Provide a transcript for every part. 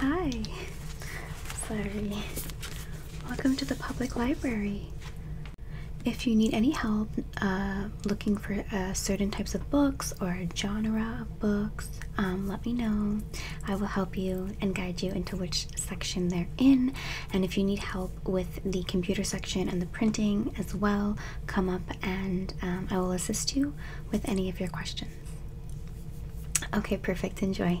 Hi. Sorry. Welcome to the public library. If you need any help uh, looking for uh, certain types of books or genre of books, um, let me know. I will help you and guide you into which section they're in. And if you need help with the computer section and the printing as well, come up and um, I will assist you with any of your questions. Okay, perfect. Enjoy.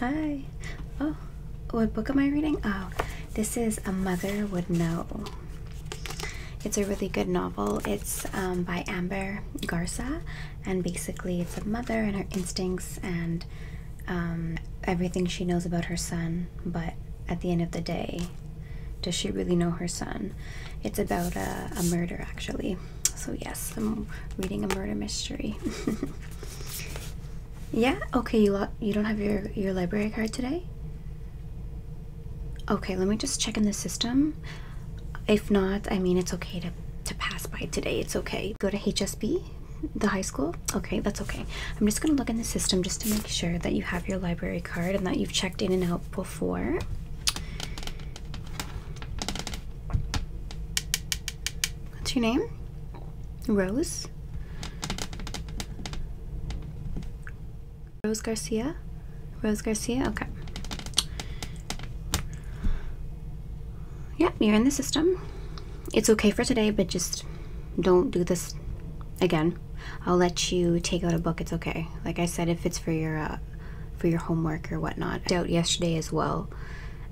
Hi. Oh, what book am I reading? Oh, this is A Mother Would Know. It's a really good novel. It's um, by Amber Garza, and basically, it's a mother and her instincts and um, everything she knows about her son, but at the end of the day, does she really know her son? It's about a, murder, actually. So, yes, I'm reading a murder mystery. yeah, okay, you, you don't have your, your library card today? Okay, let me just check in the system. If not, I mean, it's okay to, to pass by today. It's okay. Go to HSB, the high school. Okay, that's okay. I'm just going to look in the system just to make sure that you have your library card and that you've checked in and out before. What's your name? Rose? Rose Garcia? Rose Garcia? Okay. Yep, you're in the system. It's okay for today, but just don't do this again. I'll let you take out a book. It's okay. Like I said, if it's for your uh, for your homework or whatnot. Out yesterday as well,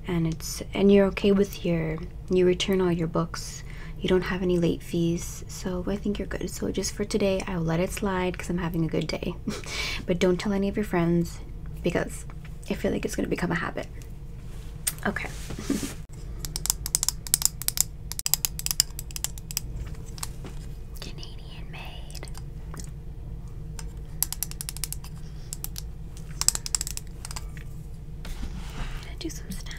and it's and you're okay with your you return all your books. You don't have any late fees, so I think you're good. So just for today, I'll let it slide because I'm having a good day. but don't tell any of your friends because I feel like it's gonna become a habit. Okay. Canadian made. gonna do some steps.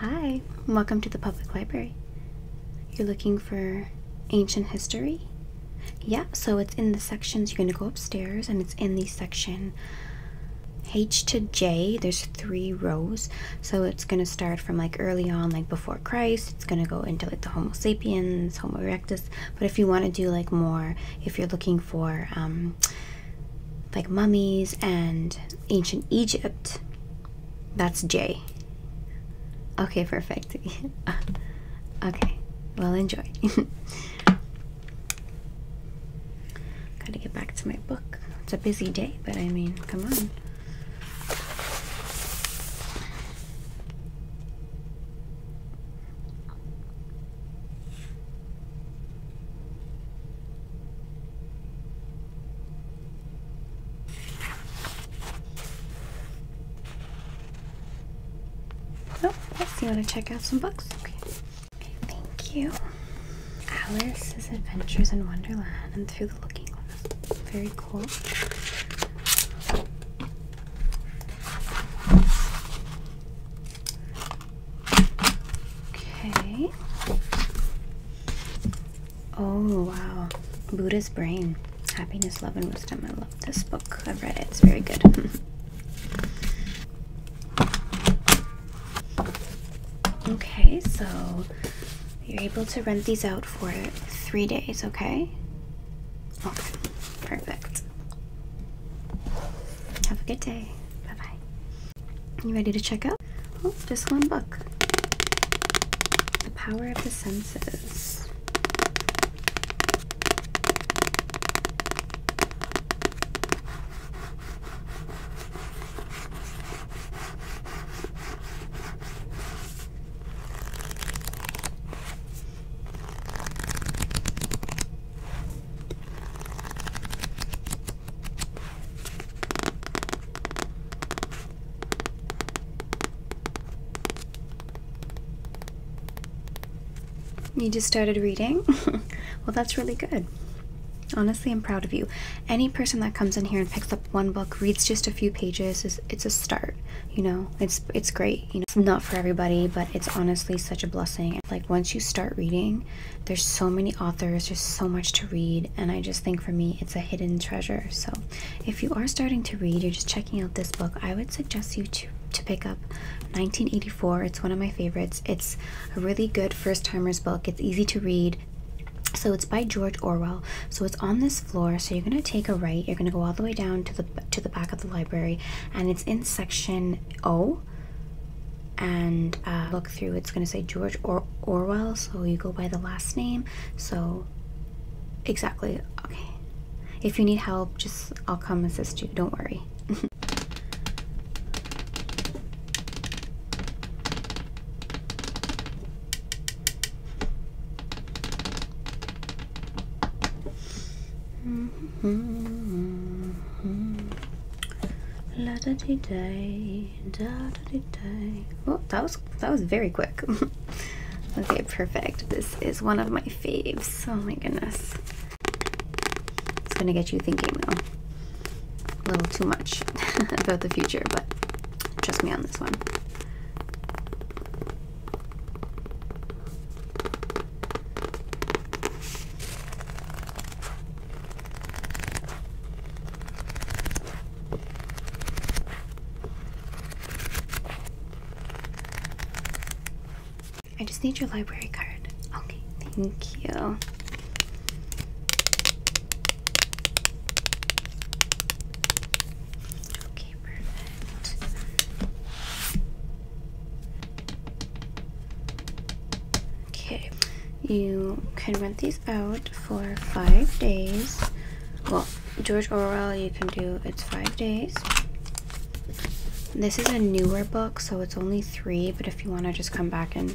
Hi, welcome to the public library. You're looking for ancient history? Yeah, so it's in the sections. You're going to go upstairs, and it's in the section H to J. There's three rows, so it's going to start from like early on, like before Christ, it's going to go into like the homo sapiens homo erectus but if you want to do like more if you're looking for um, like mummies and ancient egypt that's j okay perfect okay well enjoy gotta get back to my book it's a busy day but i mean come on Oh, yes, you want to check out some books? Okay. okay. Thank you. Alice's Adventures in Wonderland and Through the Looking Glass. Very cool. Okay. Oh, wow. Buddha's Brain Happiness, Love, and Wisdom. I love this book. I've read it, it's very good. okay, so you're able to rent these out for three days, okay? Okay, perfect. Have a good day. Bye bye. You ready to check out? Oh, just one book The Power of the Senses. You just started reading? well, that's really good. Honestly, I'm proud of you any person that comes in here and picks up one book, reads just a few pages, is it's a start. You know, it's it's great. You know, it's not for everybody, but it's honestly such a blessing. Like once you start reading, there's so many authors, just so much to read, and I just think for me it's a hidden treasure. So, if you are starting to read, you're just checking out this book, I would suggest you to to pick up 1984. It's one of my favorites. It's a really good first timers book. It's easy to read. So it's by George Orwell. So it's on this floor. So you're gonna take a right. You're gonna go all the way down to the to the back of the library, and it's in section O. And uh, look through. It's gonna say George or Orwell. So you go by the last name. So exactly. Okay. If you need help, just I'll come assist you. Don't worry. -hmm. La da dee day, da da dee day. Oh, that was that was very quick. okay, perfect. This is one of my faves. Oh my goodness, it's gonna get you thinking though. A little too much about the future, but Trust me on this one. I just need your library card. Okay, thank you. Okay, perfect. Okay, you can rent these out for five days. Well, George Orwell, you can do it's five days. This is a newer book, so it's only three, but if you want to just come back and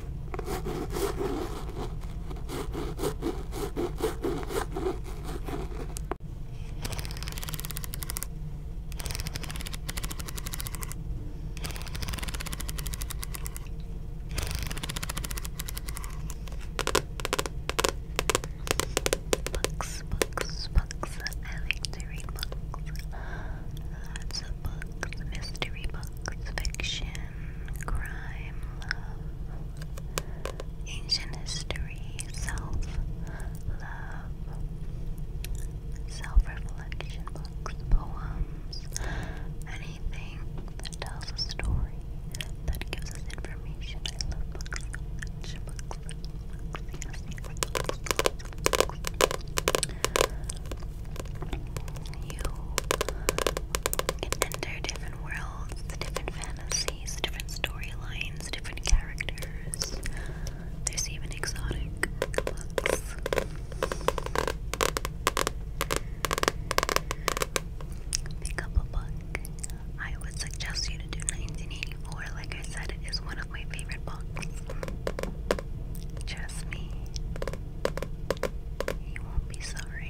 Books, books, books. I to read books. Lots of books. Mystery books fiction, crime, love, ancient history, self love, self reflection books, poems, anything that tells a story, that gives us information. I love books, books, you can enter different worlds, different fantasies, different storylines, different characters. There's even exotic books. Pick up a book. I would suggest you to do 1984. Like I said, it is one of my favorite books. Trust me, you won't be sorry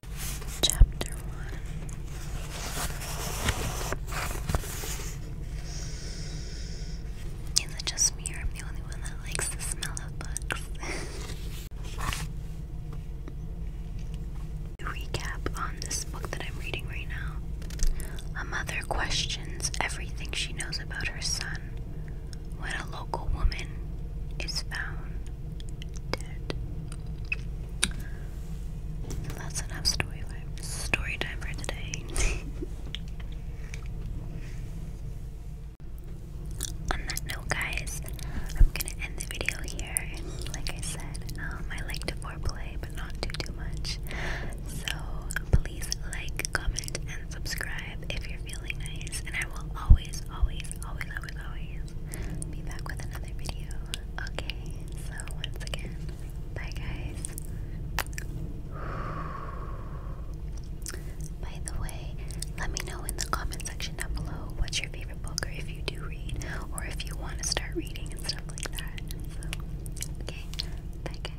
Chapter one. Is it just me or am the only one that likes the smell of books? Recap on this book that I'm reading right now. A mother questions everything she knows about her son when a local woman is found dead that's enough story time, story time for today. On that note, guys, I'm gonna end the video here. like I said, um, I like to foreplay, but not do too much. So please like, comment, and subscribe if you're feeling nice. And I will always, always, always, always, always be back with another video. Okay, so once again, bye guys. By the way, let me know in the comment section down below what's your favorite book, or if you do read, or if you want to start reading and stuff like that. So, okay, bye guys.